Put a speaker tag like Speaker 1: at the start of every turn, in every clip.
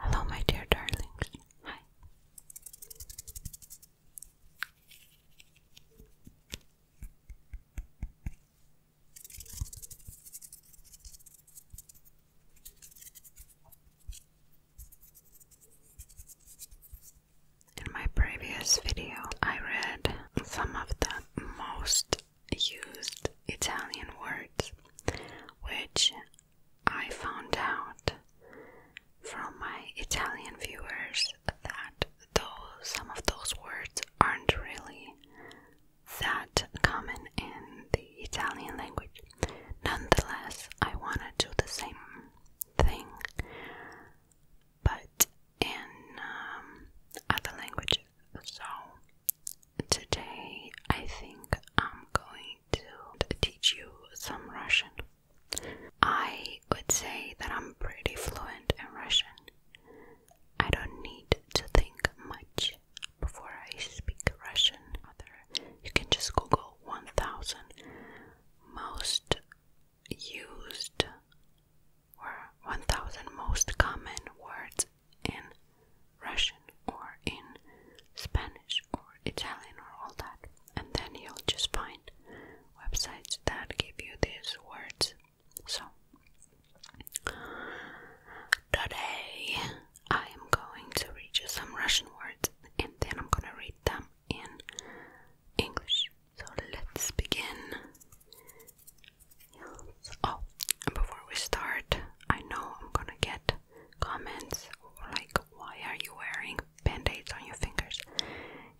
Speaker 1: Hello, my dear darlings. Hi. In my previous video, I read some of the most used Italian words, which I found out from my Italian viewers that those, some of those words aren't really that common in the Italian language. Nonetheless, I want to do the same thing but in um, other languages. So today I think I'm going to teach you some Russian. I would say that I'm pretty fluent in Russian. I don't need to think much before I speak Russian. Other, you can just Google 1000 most used or 1000 most common words in Russian or in Spanish or Italian or all that. And then you'll just find websites that give you these words. So, today I am going to read you some Russian words and then I'm gonna read them in English. So let's begin. Oh, before we start, I know I'm gonna get comments like, why are you wearing band on your fingers?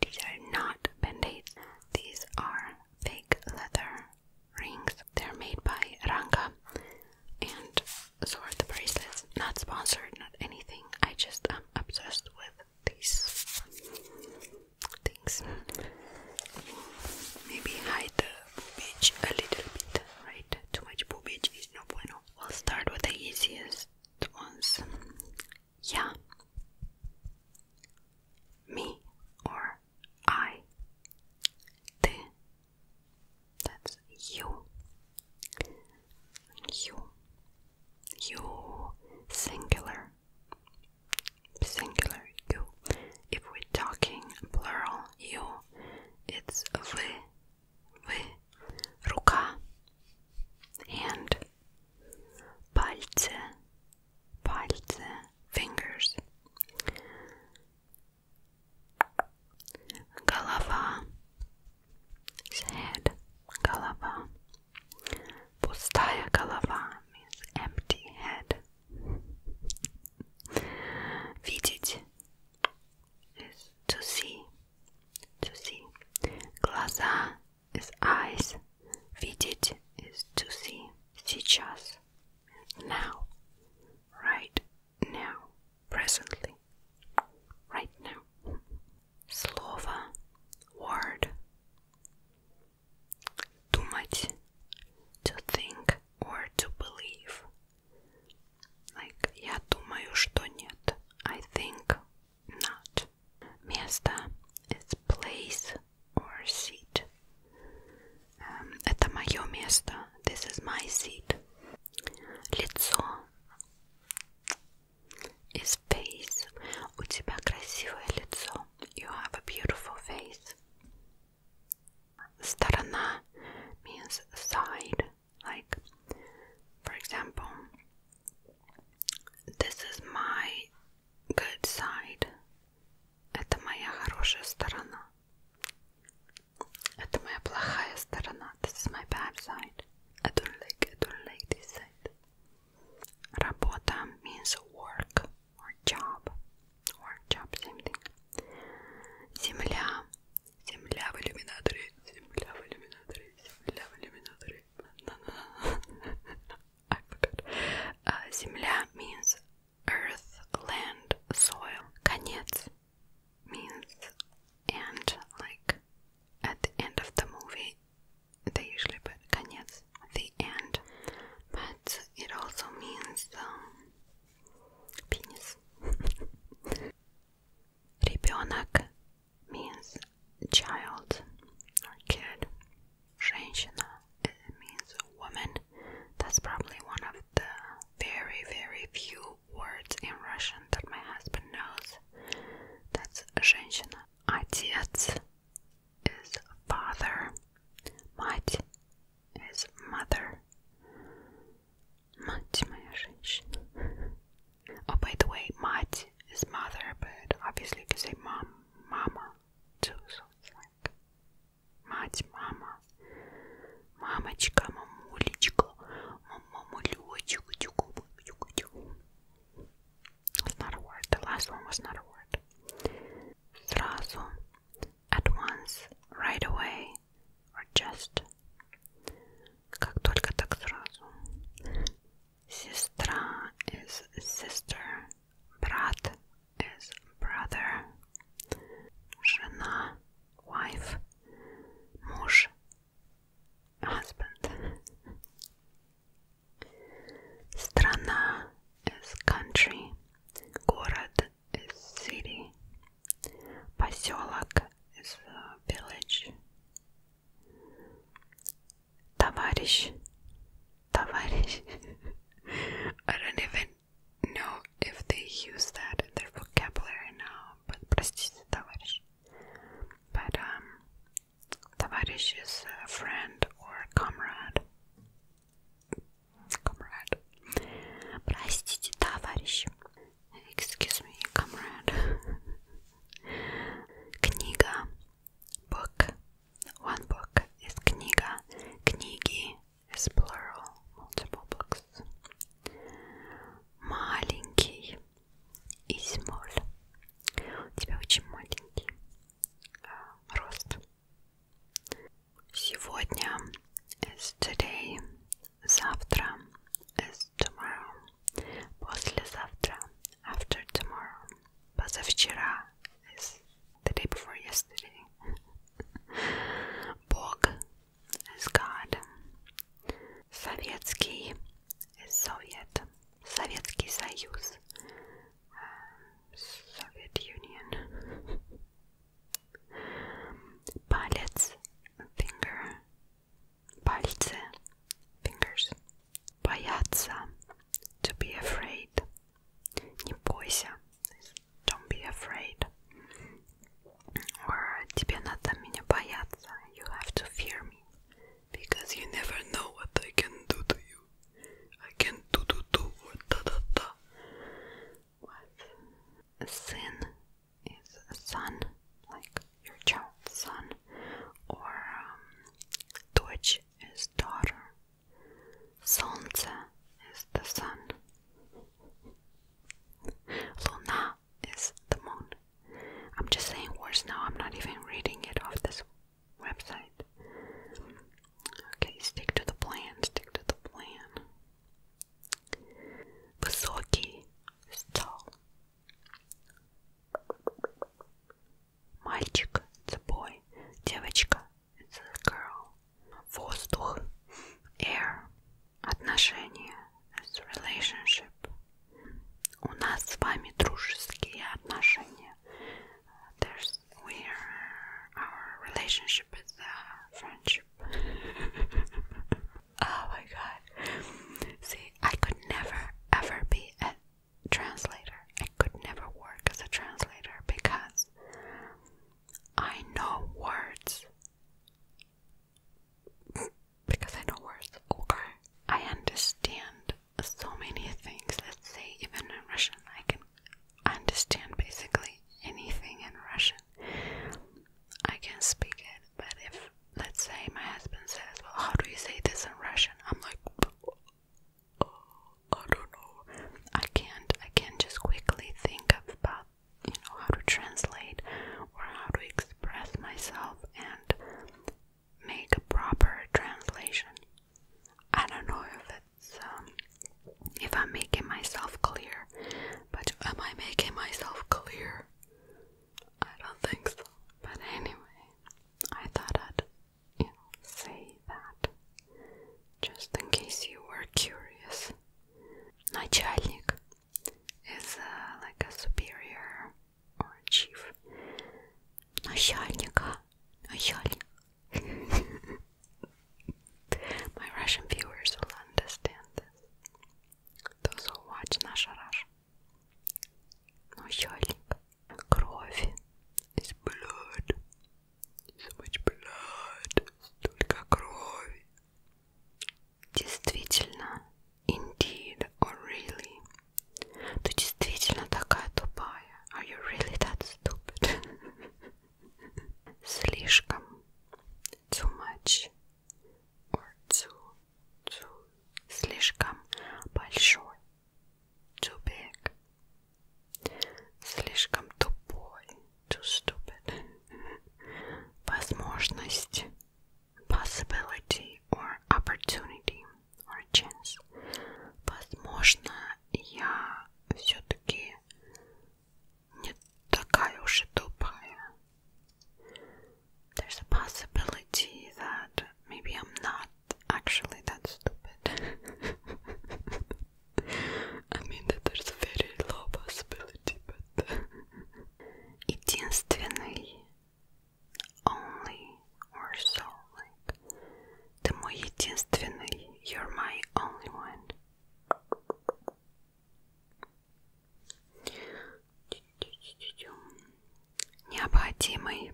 Speaker 1: These are not band These are fake leather rings. They're made by Ranka. And so the bracelets. Not sponsored, not anything. I just am obsessed with these things.
Speaker 2: Maybe hide
Speaker 1: the bitch a little bit, right? Too much boobage is no bueno. We'll start with the easiest ones. Yeah. Me or I. Te. That's you. You. You. Singular singular. you. If we're talking plural you, it's вы, вы, рука, hand, пальцы, пальцы, fingers, голова, head, голова. Pustaya galava means empty head. Видеть is to see, to see. Глаза is eyes. Видеть is to see. Сейчас, now, right now, presently, right now. Slova word too much to think or to believe. Like я думаю, что нет. I think not. Место is place or seat. это мое место. This is my seat. Лицо is face. У тебя красивое лицо. You have a beautiful face. Сторона means side. Like, for example, this is my good side. Это моя хорошая сторона. Это моя плохая сторона. This is my bad side. I don't like, I don't like this side. Работа means work or job or job same thing. Земля. Земля в Земля в Земля в иллюминаторе. earth, land, soil. Конец at the end of the movie they usually put конец the end, but it also means the penis. Ребенок means child or kid. Женщина means woman. That's probably one of the very, very few words in Russian that my husband knows. That's женщина. Отец is father. Мать is mother. Мать моя женщина. Oh, by the way, мать is mother, but obviously you can say mom, mama too, so it's like мать, мама. Мамочка, мамулечка, мамулечка, тюку-тюку, тюку-тюку. It's not a word. The last one was not a word. Сразу, at once, right away, or just. Как только так сразу. Сестра is sister. Брат is brother. Жена, wife. Муж, husband. Страна is country, город is city, поселок is uh, village, товарищ, товарищ. I don't even know if they use that in their vocabulary now, but простите, товарищ. But um, Товарищ is a friend or comrade. Comrade. Простите, товарищ. Excuse me, comrade. Книга. Book. One book is книга. Книги is plural. Multiple books. Маленький. Измоль. У тебя очень маленький э, рост. Сегодня is today, завтра is tomorrow, послезавтра after tomorrow, позавчера is the day before yesterday. Бог is God. Советский is Soviet. Soviet Union. Палец, finger, пальцы, fingers. Бояться, to be afraid. Не бойся, don't be afraid. Or тебе надо меня бояться, you have to fear me because you never know what I can do to you. I can do do do or da da da. What? Sin is a son, like your child's son, or um, Deutsch is daughter. Solnce is the sun. Luna is the moon. I'm just saying Worse now, I'm not even reading it off this website. Okay, stick to the plan, stick to the plan. Высокий стал. Мальчик, it's a boy. Девочка, it's a girl. Воздух, air. Отношения, it's relationship у нас с relationship uh, oh my god. See, I could never ever be a translator. I could never work as a translator because I know words because I know words. it's over. I understand so many things. Let's say even in Russian, I can understand basically anything in Russian. I can speak it, but if let's say my husband says, "Well, how do you say this in Russian?" I'm like, oh, "I don't know. I can't. I can't just quickly think about you know how to translate or how to express myself." And make a proper translation. I don't know if it's um, if I'm making myself clear, but am I making myself clear? I don't think so. But anyway, I thought I'd you know say that just in case you were curious. Начальник is uh, like a superior or chief начальника начальник my Russian viewers will understand this those who watch наша Russia начальник кровь is blood so much blood столько крови действительно Indeed, or really? Ты действительно такая тупая. Are you really that stupid? Слишком. Too much. Or too, too. Слишком большой. Too big. Слишком тупой. Too stupid. Возможность possibility or opportunity or chance. Возможно, я все-таки не такая уж и тупая. There's a possibility that maybe I'm not actually that stupid. I mean that there's a very low possibility, but... Единственный only or so like the мой единственный, you're my only one. Необходимый,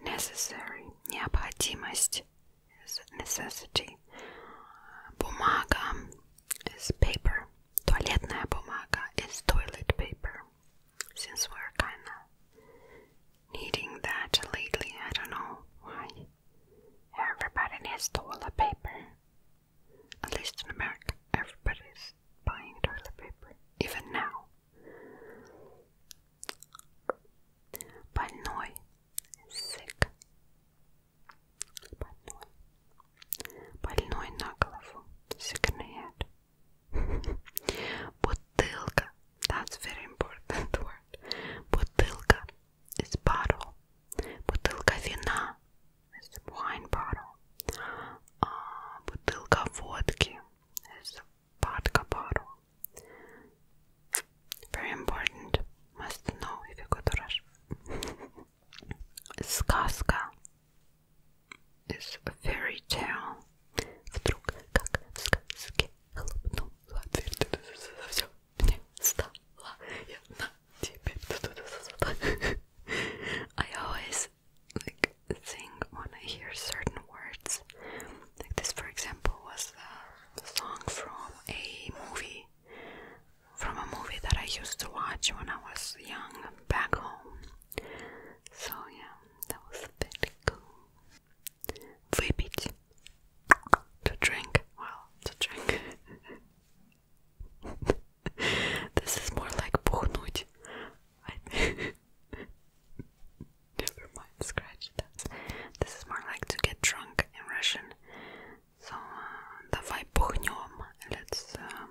Speaker 1: necessary, необходимость is necessity. Бумага is paper. Туалетная бумага is toilet paper since we're kinda needing that lately. I don't know why. Everybody needs toilet paper. At least in America, everybody's buying toilet paper, even now. Больной, sick. Больной. Больной на sick head. Butilka, that's very important word. Butilka is bottle. Butilka vina is wine bottle. Uh, butilka vodki is vodka bottle. Very important. Must know if you go to Russia. Сказка It's a fairy tale. Вдруг, как в сказке, хлопнула дверь, все мне стала ясна, теперь ты I always like sing when I hear certain words. Like this, for example, was a song from a movie, from a movie that I used to watch when I was young back home. So yeah, that was pretty cool. To drink. Well, to drink. this is more like пухнуть. Never mind, scratch that. This is more like to get drunk in Russian. So, uh, давай пухнем. Let's um,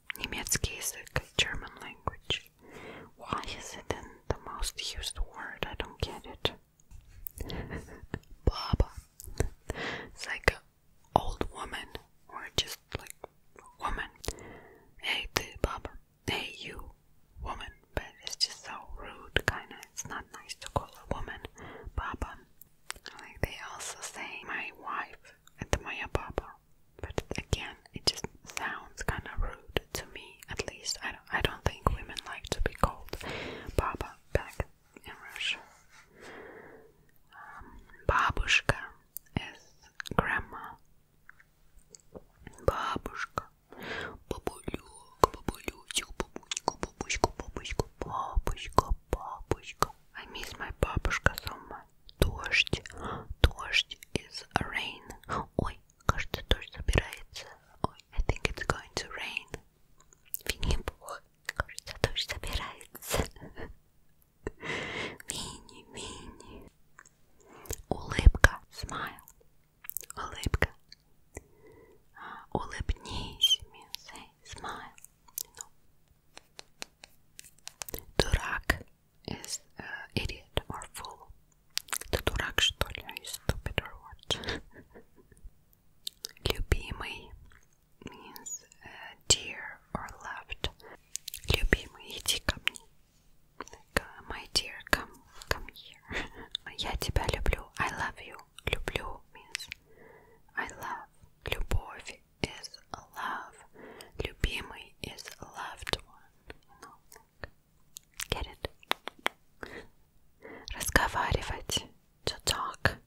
Speaker 1: Niemiecki German language. Why is it the most used word? I don't get it. Baba. It's like old woman or just like woman. Hey, the Baba. Hey, you, woman. But it's just so rude, kinda. It's not nice to call a woman Baba. Like they also say my wife at the Baba but again, it just sounds kind of rude to me. At least I don't, I don't think women like to be called Baba back in Russia. Um, babushka is grandma. Babushka, babuluk, babuluchuk, babushka, babushka, babushka, babushka. I miss my babushka so much дождь, дождь is rain. Ой, кажется, дождь собирается. Ой, I think it's going to rain. Винни-Пух, кажется, дождь собирается. Мини, мини. Улыбка, smile. Улыбка. Uh, улыбнись, me say smile. You know, Дурак is uh, idiot or fool. The дурак, что ли? stupid or what? Любимый means uh, dear or loved. Любимый, иди ко мне. Like, uh, my dear, come, come here. Я тебя люблю. I love you. Люблю means I love. Любовь is love. Любимый is loved one. You know, like, get it? Разговаривать. To talk.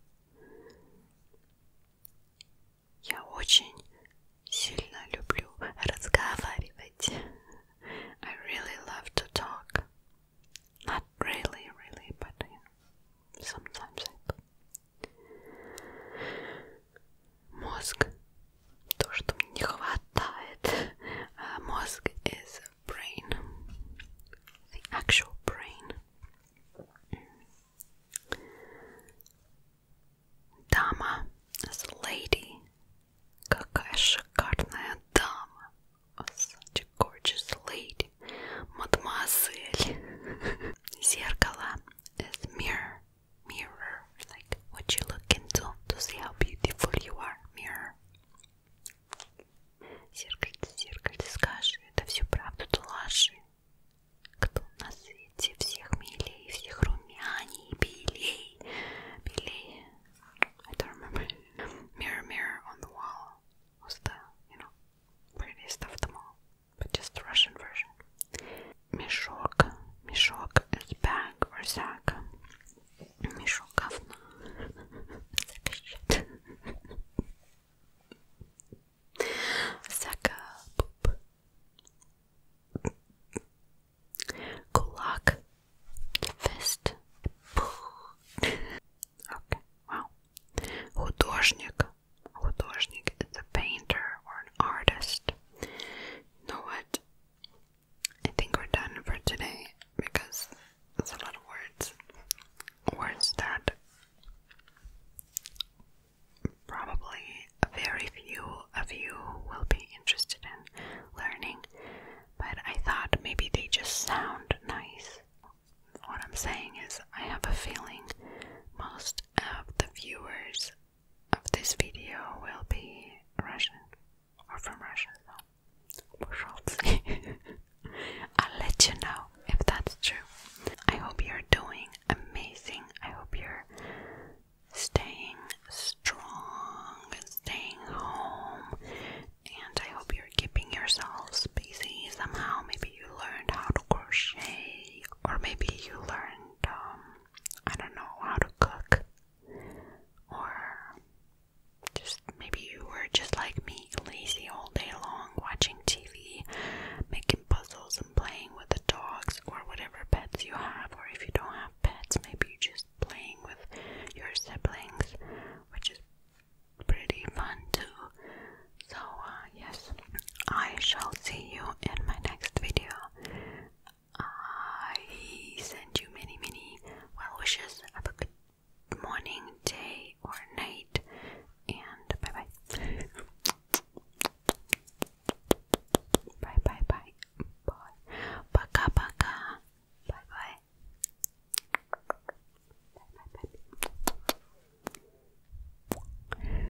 Speaker 1: Я очень сильно I really love to talk. Not really, really, but sometimes Мозг то, что мне не хватает. Uh, мозг is brain. The actual brain. Дама is lady. Какая шикарная дама. Oh, such a gorgeous lady. Мадемуазель. Зеркало is mirror. mirror, like what you look into to see how beautiful you are, mirror. Зеркальце, зеркальце, скажи, это всю правду ты ложи. Кто на свете всех милей, всех румяней, белей, белей. I don't remember. Mirror, mirror on the wall was the, prettiest of them all but just the Russian version. Мешок, мешок is bag or sack. Мешок говна. Sack shit. Sack fist. Okay, wow. Художник. Художник is a painter or an artist. You know what? I think we're done for today because there's a lot of words. Words that probably very few of you will be interested in learning, but I thought maybe they just sound nice. What I'm saying is, I have a feeling most of the viewers of this video will be Russian or from Russia, so we shall see. I'll let you know if that's true. I hope you're doing amazing. I hope you're staying strong and staying home. And I hope you're keeping yourselves busy somehow. Maybe you learned how to crochet, or maybe you learned um, I don't know how to cook, or just maybe you were just like me, lazy all day long, watching TV, making puzzles, and playing with the dogs or whatever pets you have, or if you don't have pets, maybe you're just playing with your siblings, which is pretty fun too. So, uh, yes, I shall see you in my next video. I send you many, many well wishes. Have a good morning, day, or night, and bye bye. bye bye bye. Bye. Paka paka. bye bye.